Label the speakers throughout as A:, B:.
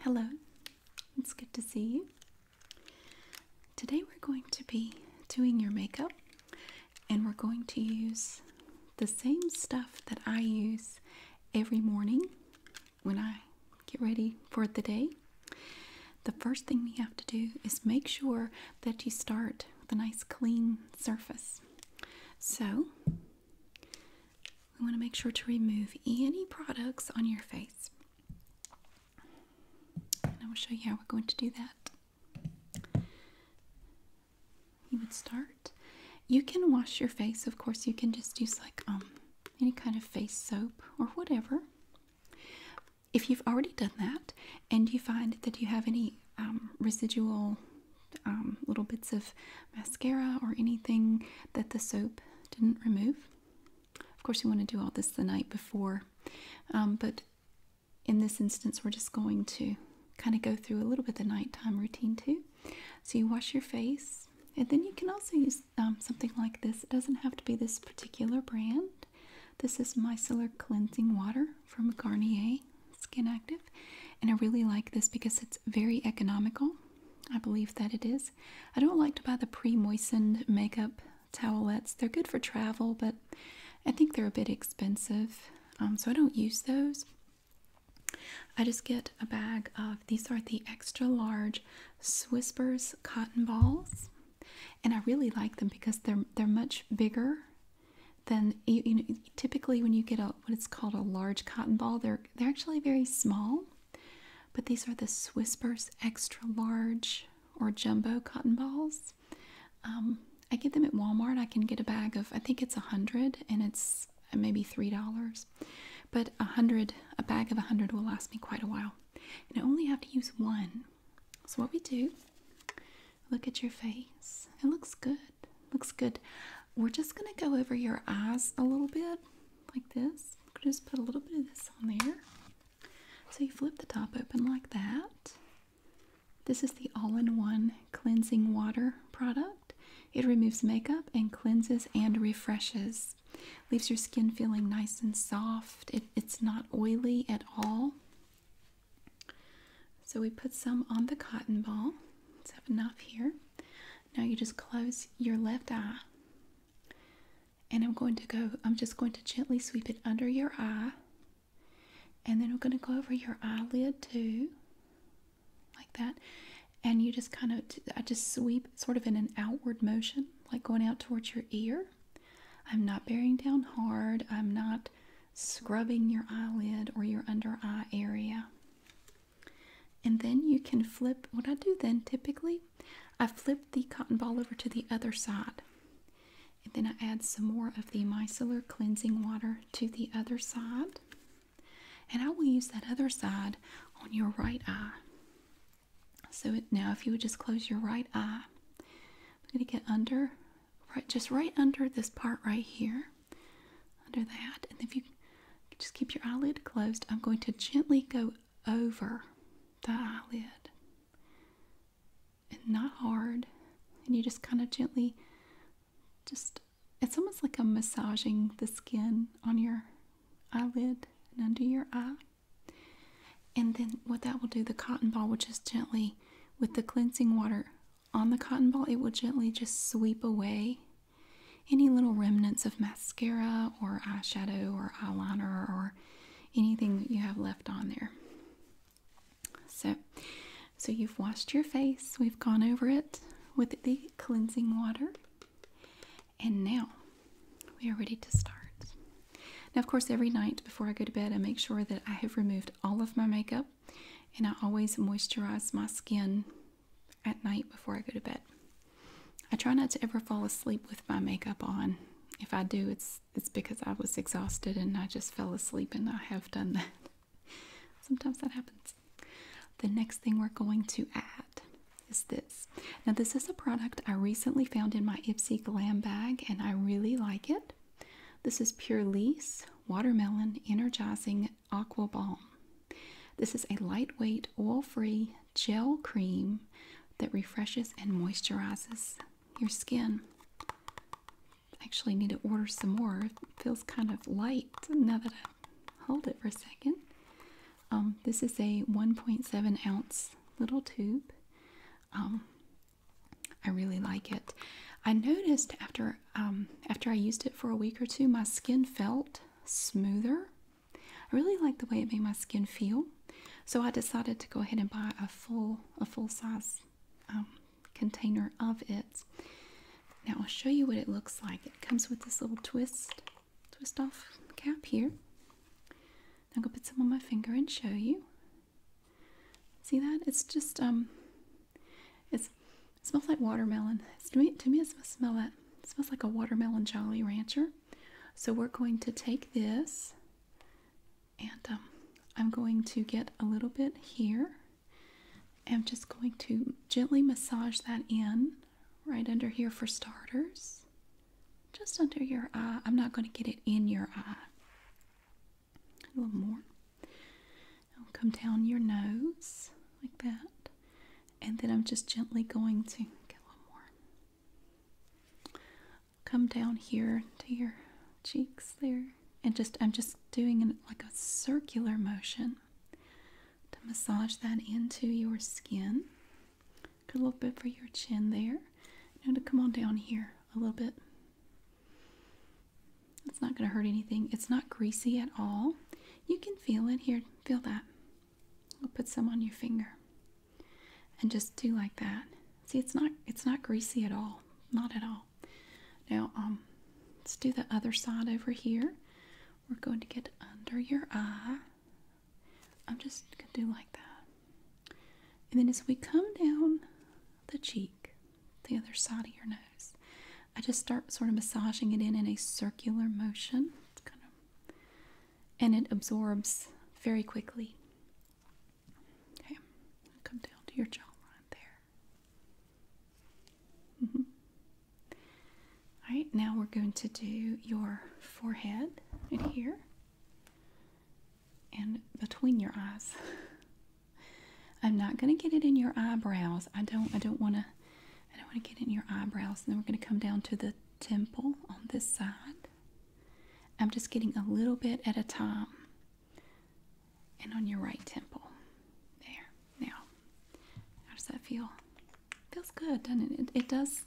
A: Hello, it's good to see you. Today we're going to be doing your makeup and we're going to use the same stuff that I use every morning when I get ready for the day. The first thing we have to do is make sure that you start with a nice clean surface. So we want to make sure to remove any products on your face. I will show you how we're going to do that. You would start. You can wash your face, of course, you can just use like um any kind of face soap or whatever. If you've already done that and you find that you have any um, residual um, little bits of mascara or anything that the soap didn't remove. Of course, you want to do all this the night before, um, but in this instance, we're just going to kind of go through a little bit of the nighttime routine too. So you wash your face, and then you can also use um, something like this. It doesn't have to be this particular brand. This is micellar cleansing water from Garnier Skin Active, and I really like this because it's very economical. I believe that it is. I don't like to buy the pre moistened makeup towelettes. They're good for travel, but I think they're a bit expensive. Um, so I don't use those. I just get a bag of these are the extra large Swispers cotton balls, and I really like them because they're they're much bigger than you know typically, when you get a what it's called a large cotton ball, they're they're actually very small. But these are the Swispers extra large or jumbo cotton balls. Um, I get them at Walmart. I can get a bag of I think it's a hundred, and it's uh, maybe three dollars. But a hundred, a bag of a hundred will last me quite a while, and I only have to use one. So what we do? Look at your face. It looks good. Looks good. We're just gonna go over your eyes a little bit, like this. Just put a little bit of this on there. So you flip the top open like that. This is the all-in-one cleansing water product. It removes makeup and cleanses and refreshes. Leaves your skin feeling nice and soft. it's not oily at all. So we put some on the cotton ball. Let's have enough here. Now you just close your left eye. And I'm going to go, I'm just going to gently sweep it under your eye. And then we're going to go over your eyelid too, like that. And you just kind of, I just sweep sort of in an outward motion, like going out towards your ear. I'm not bearing down hard, I'm not scrubbing your eyelid or your under eye area and then you can flip what I do then typically I flip the cotton ball over to the other side and then I add some more of the micellar cleansing water to the other side and I will use that other side on your right eye so now if you would just close your right eye I'm going to get under right just right under this part right here under that. And if you just keep your eyelid closed, I'm going to gently go over the eyelid and not hard. And you just kind of gently, just it's almost like I'm massaging the skin on your eyelid and under your eye. And then what that will do, the cotton ball will just gently, with the cleansing water on the cotton ball, it will gently just sweep away any little remnants of mascara or eyeshadow or eyeliner or anything that you have left on there. So, so you've washed your face. We've gone over it with the cleansing water. And now we are ready to start. Now, of course, every night before I go to bed, I make sure that I have removed all of my makeup and I always moisturize my skin at night before I go to bed. I try not to ever fall asleep with my makeup on. If I do, it's it's because I was exhausted and I just fell asleep and I have done that. Sometimes that happens. The next thing we're going to add is this. Now this is a product I recently found in my Ipsy Glam bag and I really like it. This is Pure Lease Watermelon Energizing Aqua Balm. This is a lightweight, oil free gel cream that refreshes and moisturizes your skin. Actually, need to order some more. feels kind of light now that I hold it for a second. Um, this is a 1.7 ounce little tube. Um, I really like it. I noticed after um, after I used it for a week or two, my skin felt smoother. I really like the way it made my skin feel, so I decided to go ahead and buy a full a full size um, container of it. Now I'll show you what it looks like. It comes with this little twist twist off cap here. I'm gonna put some on my finger and show you. See that? It's just um, it's smells like watermelon. to, me, it smells, like, smells like a watermelon Jolly Rancher. So we're going to take this and um, I'm going to get a little bit here. I'm just going to gently massage that in right under here for starters. Just under your eye. I'm not going to get it in your eye. A little more come down your nose like that. And then I'm just gently going to get one more. Come down here to your cheeks there. And just I'm just doing an, like a circular motion to massage that into your skin. a little bit for your chin there. and to come on down here a little bit. It's not going to hurt anything. It's not greasy at all. You can feel it here Feel that. I'll put some on your finger. And just do like that. See, it's not it's not greasy at all. Not at all. Now, um, let's do the other side over here. We're going to get under your eye. I'm just gonna do like that. And then as we come down the cheek, the other side of your nose, I just start sort of massaging it in in a circular motion. and it absorbs very quickly. Okay, come down to your jawline there. Mm-hmm. All right, now we're going to do your forehead in here and between your eyes. I'm not going to get it in your eyebrows. I don't I don't want to I don't want to get in your eyebrows, and then we're going to come down to the temple on this side. I'm just getting a little bit at a time. And on your right temple. There. Now, how does that feel? Feels good, doesn't it? It does.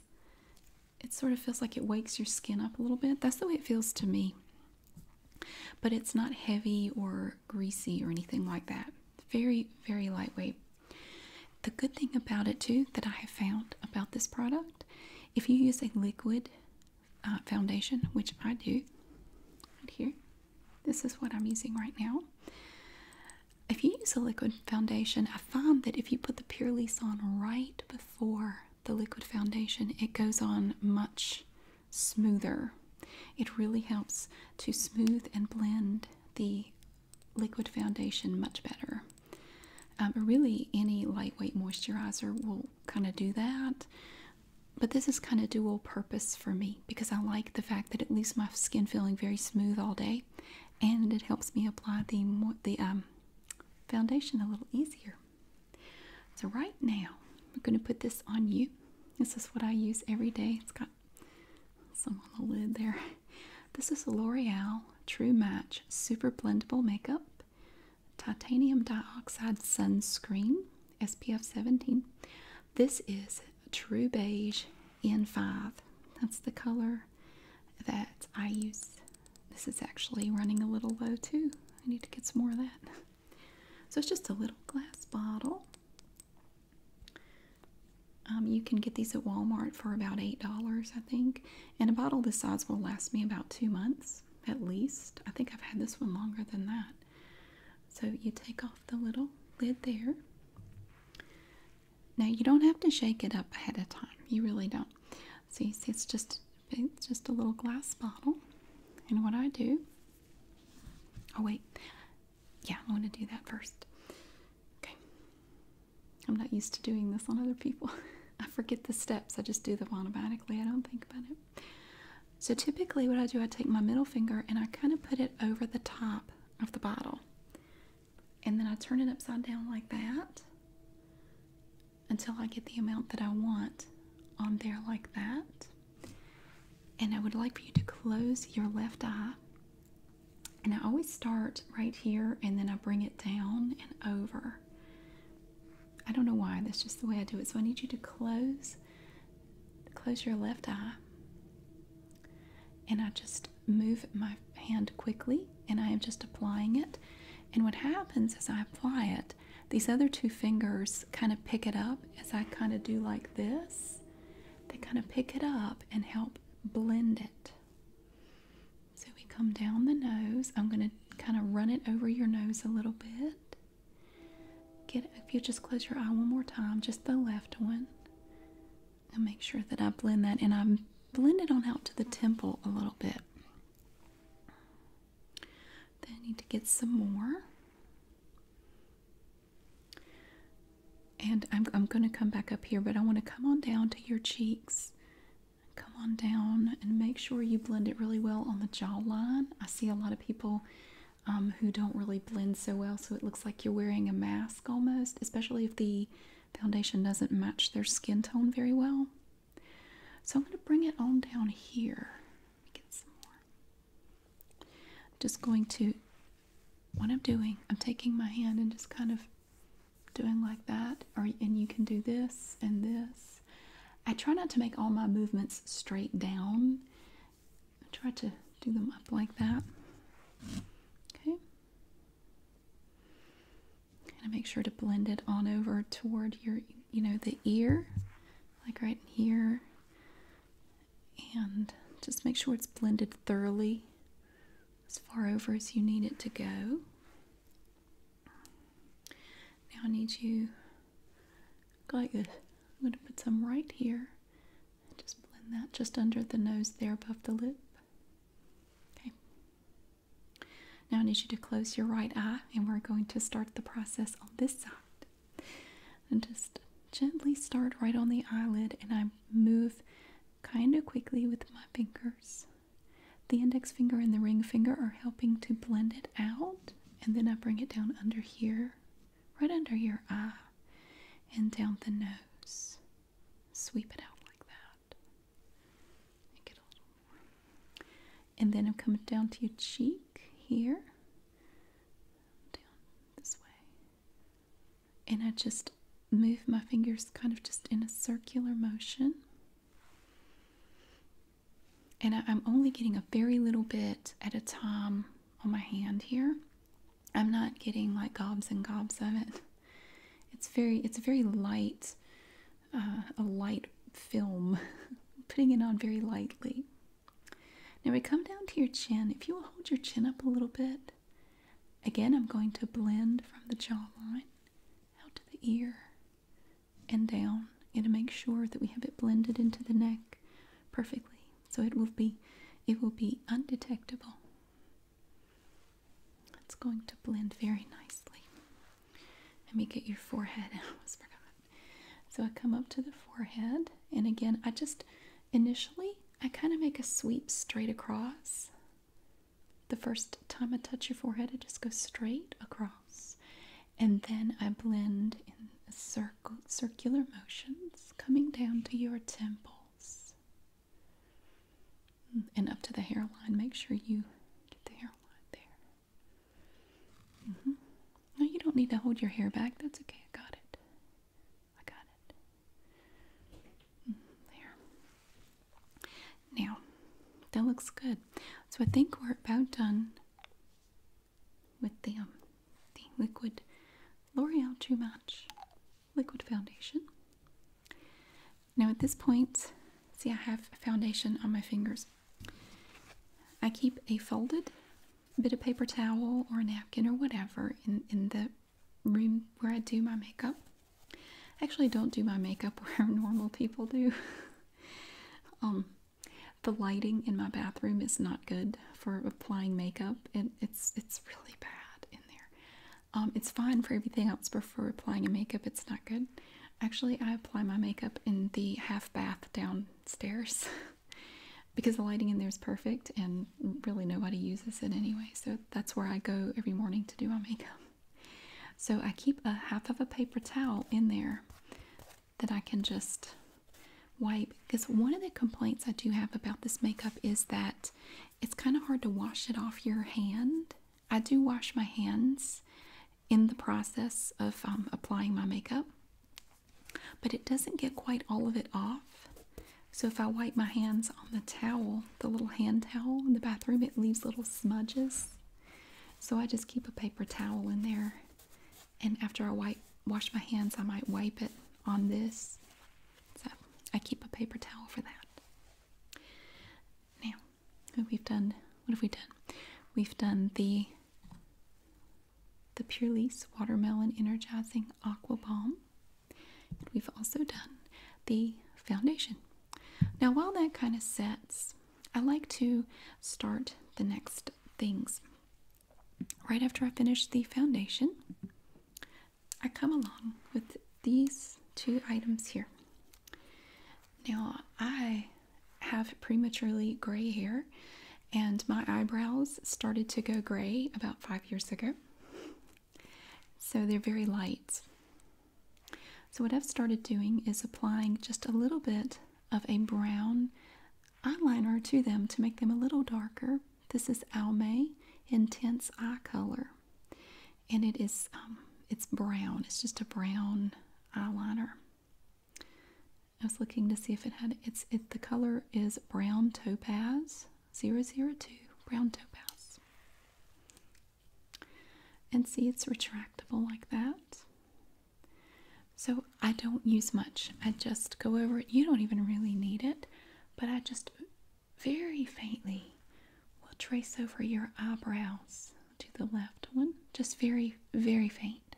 A: It sort of feels like it wakes your skin up a little bit. That's the way it feels to me. But it's not heavy or greasy or anything like that. Very, very lightweight. The good thing about it, too, that I have found about this product, if you use a liquid uh, foundation, which I do right here, this is what I'm using right now. If you use a liquid foundation, I find that if you put the Pure on right before the liquid foundation, it goes on much smoother. It really helps to smooth and blend the liquid foundation much better. Um, really, any lightweight moisturizer will kind of do that. But this is kind of dual purpose for me because I like the fact that it leaves my skin feeling very smooth all day, and it helps me apply the the um, foundation a little easier. So right now, I'm going to put this on you. This is what I use every day. It's got some on the lid there. This is the L'Oreal True Match Super Blendable Makeup Titanium Dioxide Sunscreen SPF 17. This is True Beige N5. That's the color that I use. This is actually running a little low too. I need to get some more of that. So it's just a little glass bottle. Um, you can get these at Walmart for about $8, I think. And a bottle this size will last me about two months at least. I think I've had this one longer than that. So you take off the little lid there. Now you don't have to shake it up ahead of time. You really don't. see it's just it's just a little glass bottle. And what I do, oh wait, yeah, I want to do that first. Okay. I'm not used to doing this on other people. I forget the steps. I just do them automatically. I don't think about it. So typically what I do, I take my middle finger and I kind of put it over the top of the bottle. And then I turn it upside down like that until I get the amount that I want on there like that. And I would like for you to close your left eye and I always start right here and then I bring it down and over. I don't know why, that's just the way I do it. So I need you to close close your left eye. And I just move my hand quickly and I am just applying it. And what happens is, I apply it, these other two fingers kind of pick it up as I kind of do like this they kind of pick it up and help blend it. So we come down the nose. I'm going to kind of run it over your nose a little bit. Get if you just close your eye one more time, just the left one. And make sure that I blend that and I blend it on out to the temple a little bit. Then I need to get some more. And I'm, going to come back up here, but I want to come on down to your cheeks. Come on down and make sure you blend it really well on the jawline. I see a lot of people um, who don't really blend so well, so it looks like you're wearing a mask almost, especially if the foundation doesn't match their skin tone very well. So I'm going to bring it on down here. Get some more. Just going to what I'm doing. I'm taking my hand and just kind of doing like that, or and you can do this and this. I try not to make all my movements straight down. I try to do them up like that. Okay. And make sure to blend it on over toward your, you know, the ear, like right here and just make sure it's blended thoroughly as far over as you need it to go. Now I need you go like this. I'm going to put some right here. Just blend that just under the nose there above the lip. Okay. Now I need you to close your right eye and we're going to start the process on this side and just gently start right on the eyelid and I move kind of quickly with my fingers. The index finger and the ring finger are helping to blend it out and then I bring it down under here, right under your eye and down the nose. Sweep it out like that. Make it a little more. And then I'm coming down to your cheek here. Down this way and I just move my fingers kind of just in a circular motion. And I, am only getting a very little bit at a time on my hand here. I'm not getting like gobs and gobs of it. It's very, it's a very light, uh, a light film, putting it on very lightly. Now we come down to your chin. If you will hold your chin up a little bit, Again, I'm going to blend from the jawline out to the ear and down and to make sure that we have it blended into the neck perfectly. So it will be it will be undetectable. It's going to blend very nicely. Let me get your forehead. I almost forgot. So I come up to the forehead and again I just Initially, I kind of make a sweep straight across. The first time I touch your forehead, I just go straight across. And then I blend in circle, circular motions coming down to your temples mm, and up to the hairline. Make sure you get the hairline there. Mm-hmm. No, you don't need to hold your hair back. That's okay. I got it. I got it. There. Now, that looks good. So I think we're about done with the, um, the liquid L'Oreal True Match liquid foundation. Now at this point, see I have foundation on my fingers. I keep a folded bit of paper towel or a napkin or whatever in, in the room where I do my makeup. I actually don't do my makeup where normal people do. um, the lighting in my bathroom is not good for applying makeup, and it's it's really bad in there. Um, it's fine for everything else, but for applying a makeup, it's not good. Actually, I apply my makeup in the half bath downstairs. because the lighting in there is perfect and really nobody uses it anyway. So that's where I go every morning to do my makeup. So I keep a half of a paper towel in there that I can just wipe because one of the complaints I do have about this makeup is that it's kind of hard to wash it off your hand. I do wash my hands in the process of um, applying my makeup, but it doesn't get quite all of it off. So if I wipe my hands on the towel, the little hand towel in the bathroom, it leaves little smudges. So I just keep a paper towel in there. And after I wipe wash my hands, I might wipe it on this. So I keep a paper towel for that. Now, we've done what have we done? We've done the the Pure Watermelon Energizing Aqua Balm we've also done the foundation. Now, while that kind of sets, I like to start the next things. Right after I finish the foundation, I come along with these two items here. Now, I have prematurely gray hair, and my eyebrows started to go gray about five years ago. So they're very light. So what I've started doing is applying just a little bit of a brown eyeliner to them to make them a little darker. This is Almay Intense Eye Color. And it is, um, it's brown. It's just a brown eyeliner. I was looking to see if it had, it's, it, the color is brown topaz. 002 brown topaz. And see, it's retractable like that. So I don't use much. I just go over it. You don't even really need it, but I just very faintly will trace over your eyebrows to the left one, just very, very faint.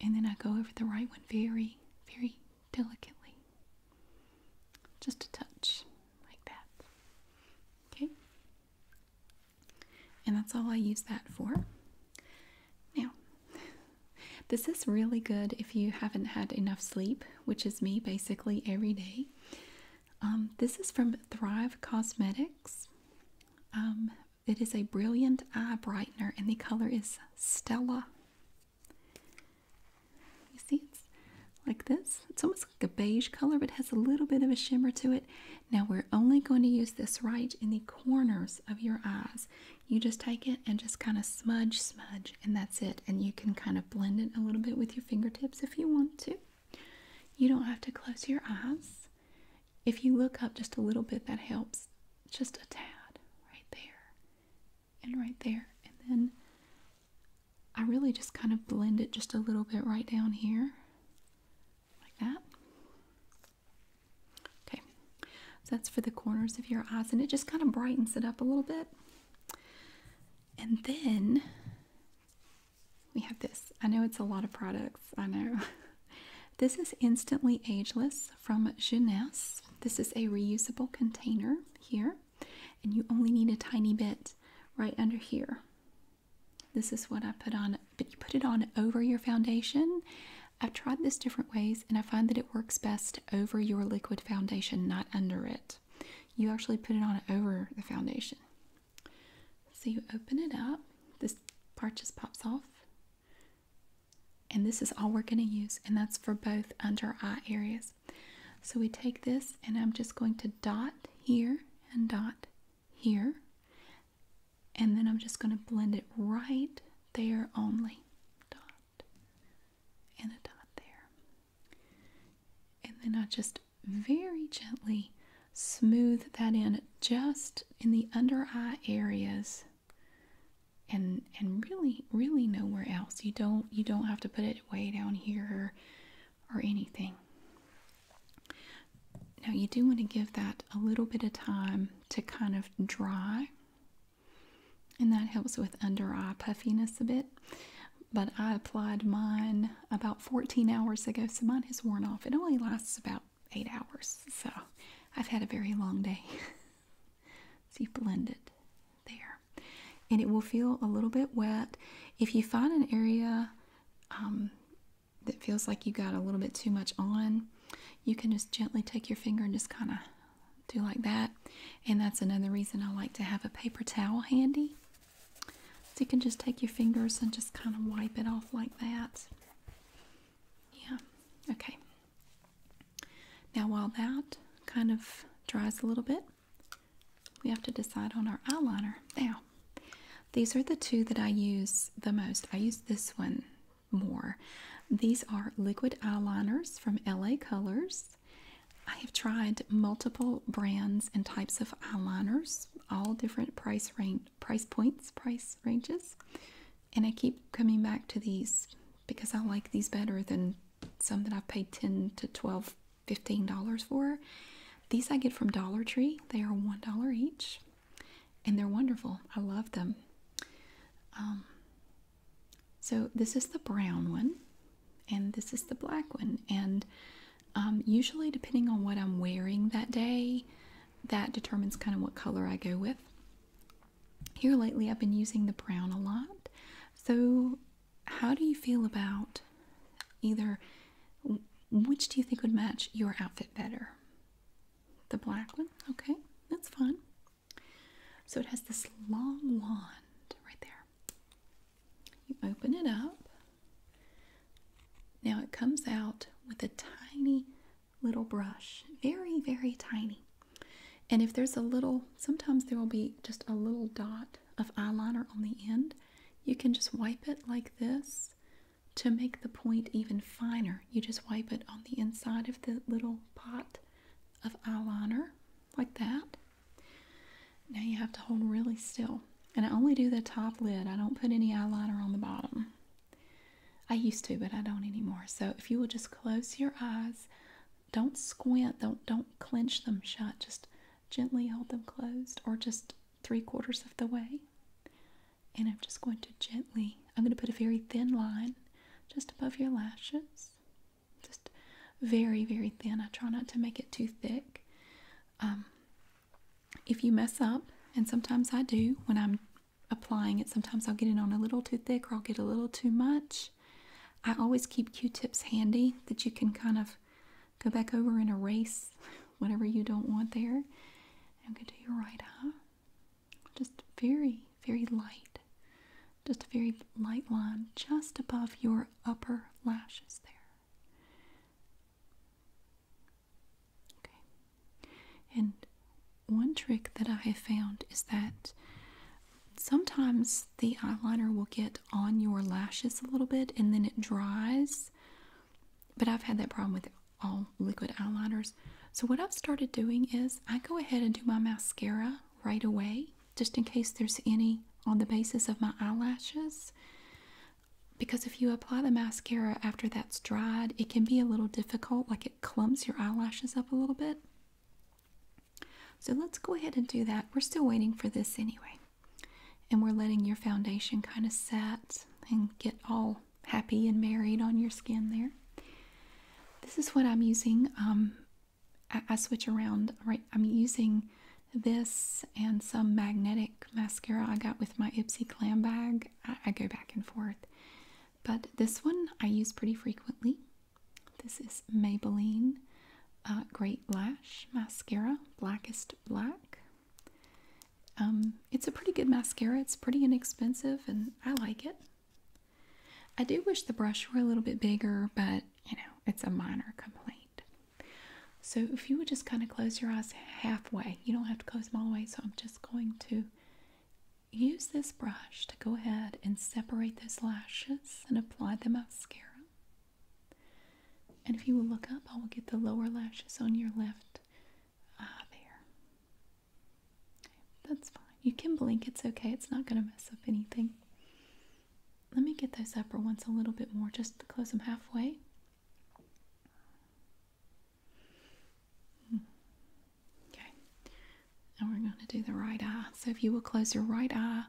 A: And then I go over the right one very, very delicately. Just a touch, like that. Okay? And that's all I use that for. Now, this is really good if you haven't had enough sleep, which is me basically every day. Um, this is from Thrive Cosmetics. Um, it is a brilliant eye brightener, and the color is Stella. You see, it's like this. It's almost like a beige color, but has a little bit of a shimmer to it. Now, we're only going to use this right in the corners of your eyes. You just take it and just kind of smudge, smudge, and that's it. And you can kind of blend it a little bit with your fingertips if you want to. You don't have to close your eyes. If you look up just a little bit, that helps just a tad right there and right there. And then I really just kind of blend it just a little bit right down here, like that. Okay, so that's for the corners of your eyes, and it just kind of brightens it up a little bit. And then we have this. I know it's a lot of products, I know. This is Instantly Ageless from Jeunesse. This is a reusable container here, and you only need a tiny bit right under here. This is what I put on, but you put it on over your foundation. I've tried this different ways, and I find that it works best over your liquid foundation, not under it. You actually put it on over the foundation. So you open it up, this part just pops off. And this is all we're going to use, and that's for both under eye areas. So we take this, and I'm just going to dot here and dot here. And then I'm just going to blend it right there only. and a dot there. And then I just very gently smooth that in just in the under eye areas and and really really nowhere else you don't you don't have to put it way down here or, or anything now you do want to give that a little bit of time to kind of dry and that helps with under eye puffiness a bit but i applied mine about 14 hours ago so mine has worn off it only lasts about eight hours. So I've had a very long day. See, blended there. And it will feel a little bit wet. If you find an area um, that feels like you got a little bit too much on, you can just gently take your finger and just kind of do like that. And that's another reason I like to have a paper towel handy. So you can just take your fingers and just kind of wipe it off like that. Yeah, okay. Now, while that kind of dries a little bit, we have to decide on our eyeliner. Now, these are the two that I use the most. I use this one more. These are liquid eyeliners from LA Colors. I have tried multiple brands and types of eyeliners, all different price range, price points, price ranges. And I keep coming back to these because I like these better than some that I've paid 10 to 12 $15 for. These I get from Dollar Tree. They are $1 each. And they're wonderful. I love them. Um, so this is the brown one. And this is the black one. And um, usually depending on what I'm wearing that day, that determines kind of what color I go with. Here lately, I've been using the brown a lot. So, how do you feel about either which do you think would match your outfit better? The black one? Okay, that's fine. So, it has this long wand right there. You open it up. Now, it comes out with a tiny little brush, very, very tiny. And if there's a little, sometimes there will be just a little dot of eyeliner on the end. You can just wipe it like this to make the point even finer. You just wipe it on the inside of the little pot of eyeliner like that. Now you have to hold really still. And I only do the top lid. I don't put any eyeliner on the bottom. I used to, but I don't anymore. So if you will just close your eyes, don't squint, don't don't clench them shut. Just gently hold them closed, or just three quarters of the way. And I'm just going to gently. I'm going to put a very thin line just above your lashes, just very very thin. I try not to make it too thick. Um, if you mess up, and sometimes I do when I'm applying it. Sometimes I'll get it on a little too thick or I'll get a little too much. I always keep Q-tips handy that you can kind of go back over and erase whatever you don't want there. I'm going to do your right eye. Just very, very light. Just a very light line just above your upper lashes there. Okay. And one trick that I have found is that sometimes the eyeliner will get on your lashes a little bit and then it dries. But I've had that problem with all liquid eyeliners. So, what I've started doing is I go ahead and do my mascara right away just in case there's any on the basis of my eyelashes. Because if you apply the mascara after that's dried, it can be a little difficult, like it clumps your eyelashes up a little bit. So let's go ahead and do that. We're still waiting for this anyway. And we're letting your foundation kind of set and get all happy and married on your skin there. This is what I'm using. Um, I, switch around, right? I'm using this and some magnetic mascara I got with my Ipsy Glam bag. I go back and forth but this one I use pretty frequently. This is Maybelline uh, Great Lash Mascara, Blackest Black. Um, it's a pretty good mascara. It's pretty inexpensive and I like it. I do wish the brush were a little bit bigger, but you know, it's a minor complaint. So if you would just kind of close your eyes halfway, you don't have to close them all the way, so I'm just going to Use this brush to go ahead and separate those lashes and apply the mascara. And if you will look up, I will get the lower lashes on your left there. that's fine. You can blink, it's okay. It's not going to mess up anything. Let me get those upper ones a little bit more just to close them halfway. Okay. Now we're going to do the right eye. So if you will close your right eye,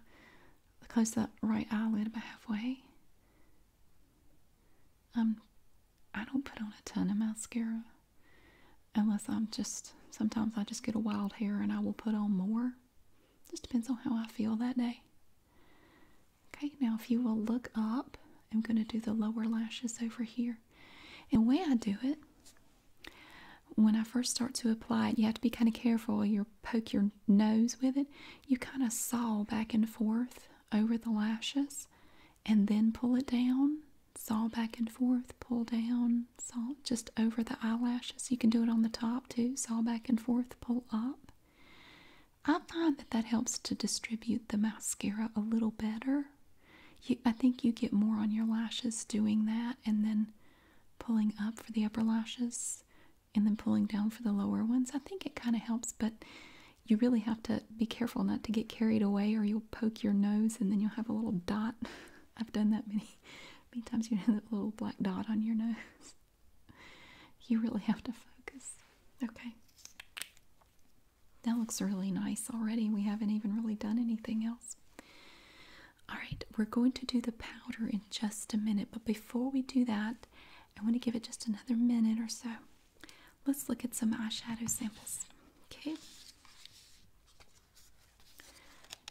A: close that right eyelid about halfway. Um, I don't put on a ton of mascara unless I'm just, sometimes I just get a wild hair and I will put on more. Just depends on how I feel that day. Okay, now if you will look up, I'm going to do the lower lashes over here. And way I do it, when I first start to apply it, you have to be kind of careful. You poke your nose with it. You kind of saw back and forth over the lashes and then pull it down. Saw back and forth, pull down, saw just over the eyelashes. You can do it on the top too. Saw back and forth, pull up. I find that that helps to distribute the mascara a little better I think you get more on your lashes doing that and then pulling up for the upper lashes and then pulling down for the lower ones. I think it kind of helps, but you really have to be careful not to get carried away or you'll poke your nose and then you'll have a little dot. I've done that many, many times. You have that little black dot on your nose. You really have to focus. Okay. That looks really nice already. We haven't even really done anything else. Alright, we're going to do the powder in just a minute, but before we do that, I want to give it just another minute or so. Let's look at some eyeshadow samples. Okay.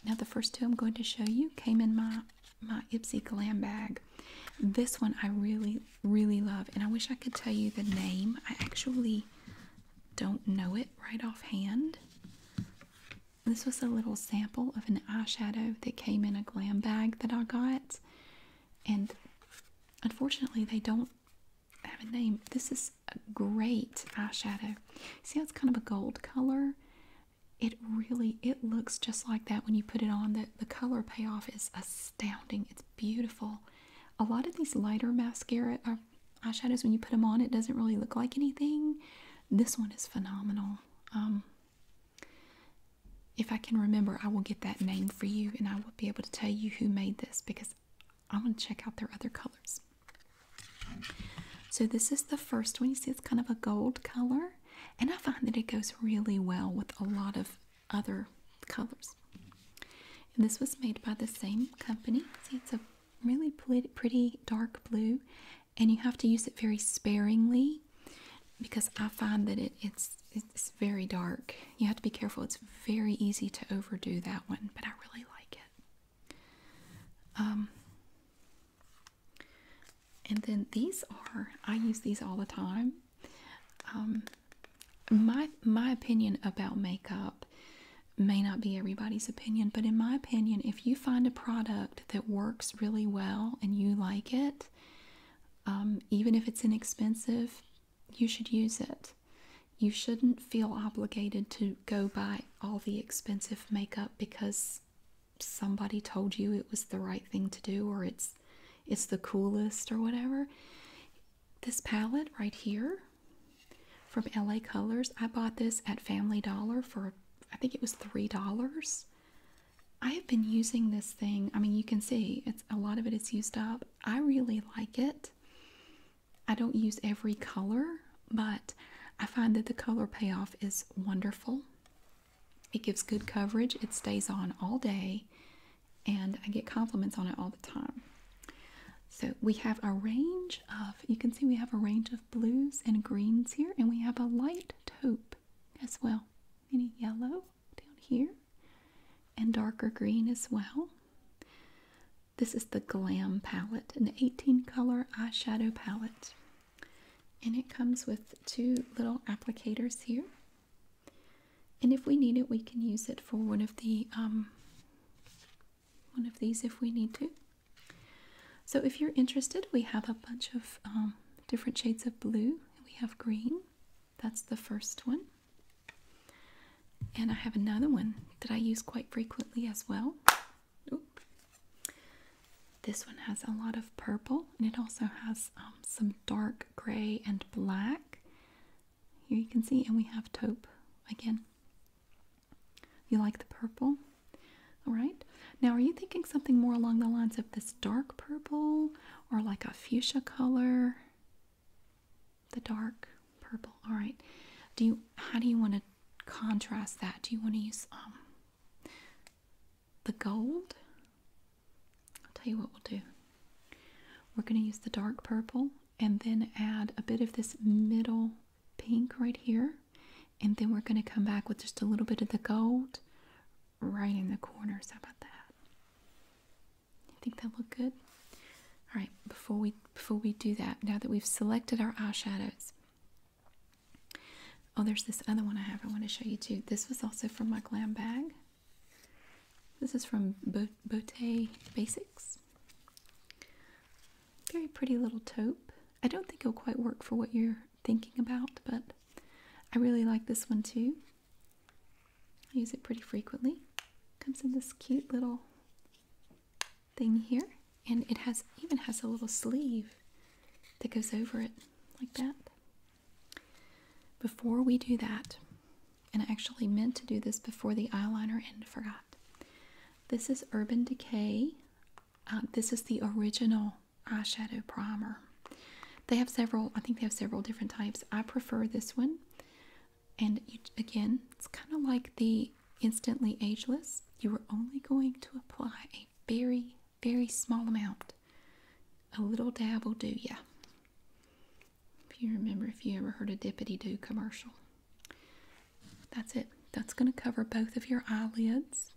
A: Now the first two I'm going to show you came in my my Ipsy Glam bag. This one I really, really love, and I wish I could tell you the name. I actually don't know it right offhand. This was a little sample of an eyeshadow that came in a glam bag that I got, and unfortunately, they don't have a name. This is a great eyeshadow. See how it's kind of a gold color? It really it looks just like that when you put it on. The the color payoff is astounding. It's beautiful. A lot of these lighter mascara I um, eyeshadows when you put them on it doesn't really look like anything this one is phenomenal um, if I can remember I will get that name for you and I will be able to tell you who made this because I want to check out their other colors so this is the first one you see it's kind of a gold color and I find that it goes really well with a lot of other colors this was made by the same company see it's a really pretty dark blue and you have to use it very sparingly because I find that it, it's it's very dark. You have to be careful. It's very easy to overdo that one, but I really like it. Um, and then these are I use these all the time. Um, my my opinion about makeup may not be everybody's opinion, but in my opinion, if you find a product that works really well and you like it, um, even if it's inexpensive, you should use it. You shouldn't feel obligated to go buy all the expensive makeup because somebody told you it was the right thing to do or it's it's the coolest or whatever. This palette right here from LA Colors. I bought this at Family Dollar for I think it was $3. I have been using this thing. I mean, you can see it's a lot of it is used up. I really like it. I don't use every color, but I find that the color payoff is wonderful. It gives good coverage. It stays on all day, and I get compliments on it all the time. So we have a range of, you can see we have a range of blues and greens here, and we have a light taupe as well. Any yellow down here, and darker green as well. This is the Glam palette, an 18 color eyeshadow palette. And it comes with two little applicators here. And if we need it, we can use it for one of the um, one of these if we need to. So, if you're interested, we have a bunch of um, different shades of blue. We have green, that's the first one. And I have another one that I use quite frequently as well. This one has a lot of purple and it also has um, some dark gray and black. Here you can see, and we have taupe again. You like the purple? All right. Now, are you thinking something more along the lines of this dark purple or like a fuchsia color? The dark purple. All right. Do you how do you want to contrast that? Do you want to use um, the gold? I'll tell you what we'll do. We're going to use the dark purple and then add a bit of this middle pink right here and then we're going to come back with just a little bit of the gold right in the corners how about that you think that look good all right before we before we do that now that we've selected our eyeshadows oh there's this other one i have i want to show you too this was also from my glam bag this is from Bote Basics very pretty little taupe. I don't think it'll quite work for what you're thinking about, but I really like this one too. I use it pretty frequently. Comes in this cute little thing here, and it has even has a little sleeve that goes over it like that. Before we do that, and I actually meant to do this before the eyeliner and forgot. This is Urban Decay. Uh, this is the original eyeshadow primer. They have several, I think they have several different types. I prefer this one. And again, it's kind of like the Instantly Ageless. You are only going to apply a very, very small amount. A little dab will do ya. If you remember, if you ever heard a Dippity Doo commercial. That's it. That's going to cover both of your eyelids.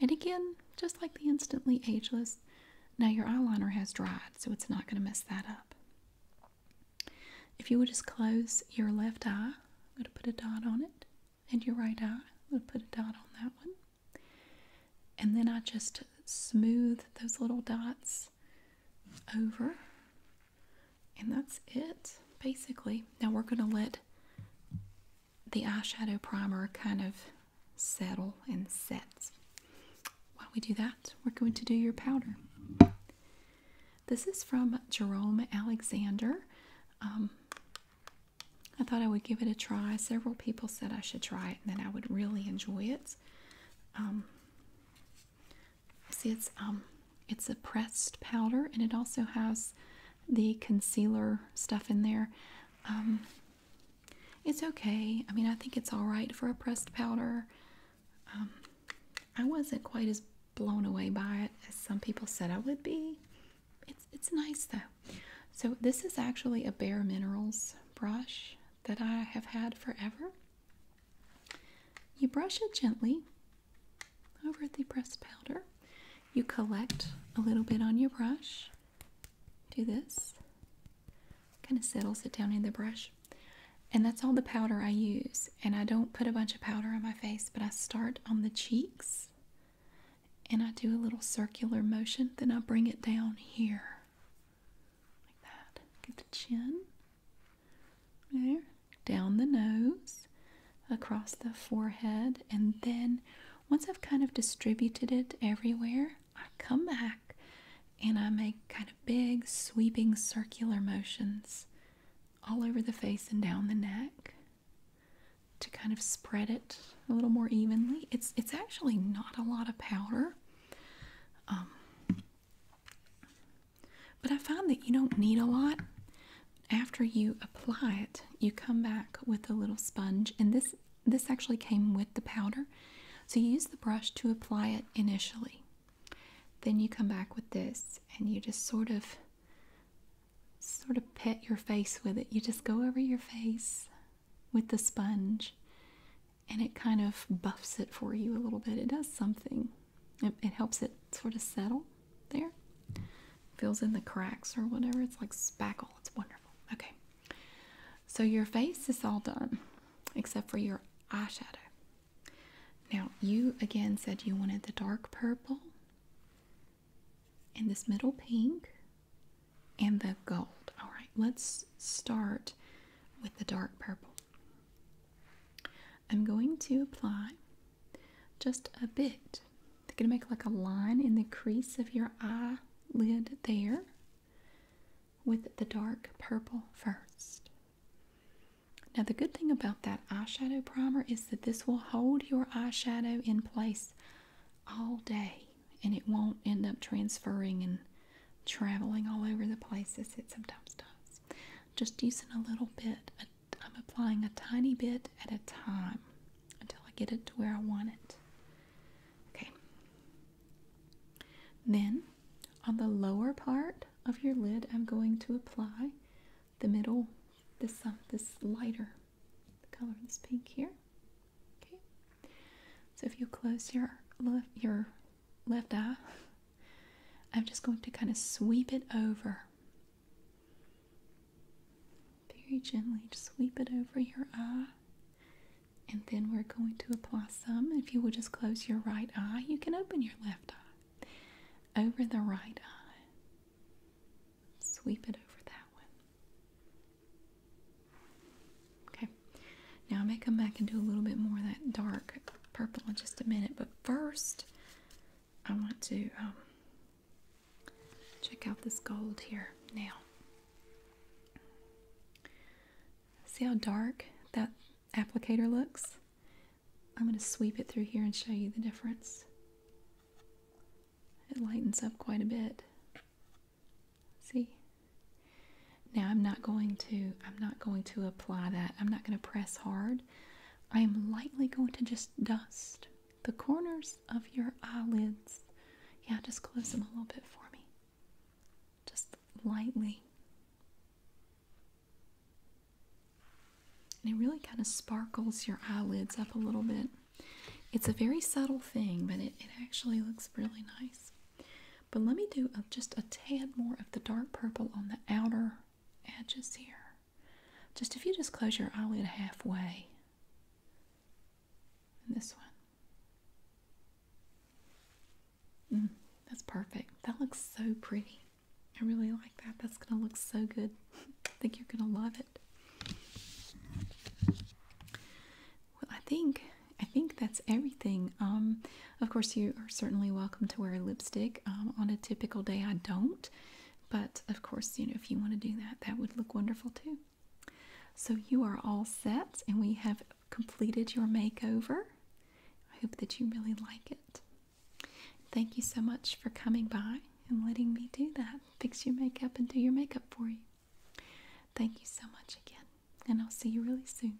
A: And again, just like the Instantly Ageless, now your eyeliner has dried, so it's not going to mess that up. If you would just close your left eye, I'm going to put a dot on it, and your right eye, I'm going to put a dot on that one. And then I just smooth those little dots over and that's it, basically. Now we're going to let the eyeshadow primer kind of settle and set. While we do that, we're going to do your powder. This is from Jerome Alexander. Um, I thought I would give it a try. Several people said I should try it and that I would really enjoy it. Um, See, it's um, it's a pressed powder, and it also has the concealer stuff in there. Um, it's okay. I mean, I think it's all right for a pressed powder. Um, I wasn't quite as blown away by it as some people said I would be. It's it's nice though. So this is actually a Bare Minerals brush that I have had forever. You brush it gently over the pressed powder. You collect a little bit on your brush. Do this. Kind of settles it down in the brush. And that's all the powder I use. And I don't put a bunch of powder on my face, but I start on the cheeks and I do a little circular motion. Then I bring it down here like that. Get the chin there down the nose, across the forehead, and then once I've kind of distributed it everywhere, I come back and I make kind of big, sweeping, circular motions all over the face and down the neck to kind of spread it a little more evenly. It's it's actually not a lot of powder. Um, but I find that you don't need a lot. After you apply it, you come back with a little sponge, and this this actually came with the powder. So you use the brush to apply it initially. Then you come back with this and you just sort of sort of pet your face with it. You just go over your face with the sponge and it kind of buffs it for you a little bit. It does something. It, helps it sort of settle there. Fills in the cracks or whatever. It's like spackle. It's wonderful. Okay. So your face is all done except for your eyeshadow. Now, you again said you wanted the dark purple and this middle pink and the gold. All right, let's start with the dark purple. I'm going to apply just a bit. I'm going to make like a line in the crease of your eyelid there with the dark purple first. Now, the good thing about that eyeshadow primer is that this will hold your eyeshadow in place all day and it won't end up transferring and traveling all over the place as it sometimes does. Just using a little bit, I'm applying a tiny bit at a time until I get it to where I want it. Okay. Then on the lower part of your lid, I'm going to apply the middle, this uh, this lighter the color of this pink here. Okay. So if you close your your left eye I'm just going to kind of sweep it over. Very gently, just sweep it over your eye. And then we're going to apply some. If you will just close your right eye, you can open your left eye. Over the right eye. Sweep it over that one. Okay. Now I may come back and do a little bit more of that dark purple in just a minute. But first, I want to um, check out this gold here now. See how dark that applicator looks? I'm going to sweep it through here and show you the difference. It lightens up quite a bit. See? Now I'm not going to I'm not going to apply that. I'm not going to press hard. I am lightly going to just dust the corners of your eyelids. Yeah, just close them a little bit for me. Just lightly. And it really kind of sparkles your eyelids up a little bit. It's a very subtle thing, but it, actually looks really nice. But let me do just a tad more of the dark purple on the outer edges here. Just if you just close your eyelid halfway. And this one. Mm, that's perfect. That looks so pretty. I really like that. That's going to look so good. I think you're going to love it. Well, I think I think that's everything. Um, of course, you are certainly welcome to wear lipstick. Um, on a typical day, I don't, but of course, you know, if you want to do that, that would look wonderful too. So, you are all set, and we have completed your makeover. I hope that you really like it. Thank you so much for coming by and letting me do that, fix your makeup, and do your makeup for you. Thank you so much again, and I'll see you really soon.